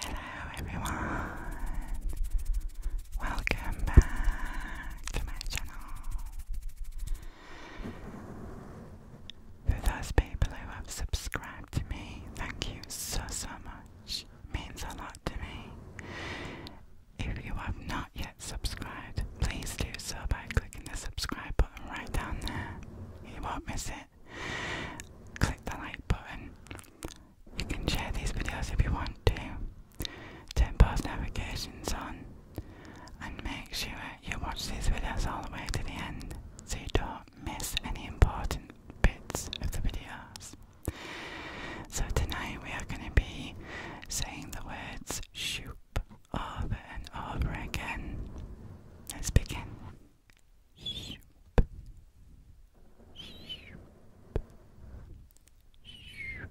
Hello everyone, welcome back to my channel. For those people who have subscribed to me, thank you so so much. means a lot to me. If you have not yet subscribed, please do so by clicking the subscribe button right down there. You won't miss it. Click the like button. You can share these videos if you want to. Turn post notifications on and make sure you watch these videos all the way to the end so you don't miss any important bits of the videos. So tonight we are going to be saying the words shoop over and over again. Let's begin. Shoop. Shoop. Shoop. Shoop.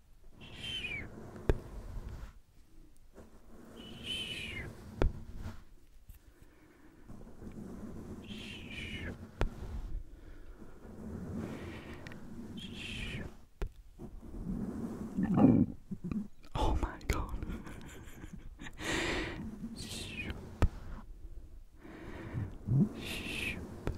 Oh my god. Shoop. Shoop. Shoop.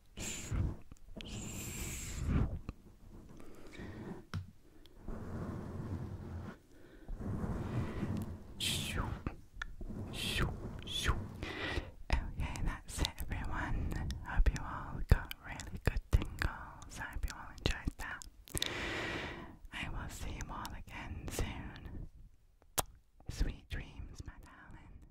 Okay, that's it, everyone. Hope you all got really good tingles. I hope you all enjoyed that. I will see you all again soon. Sweet dreams, my darling.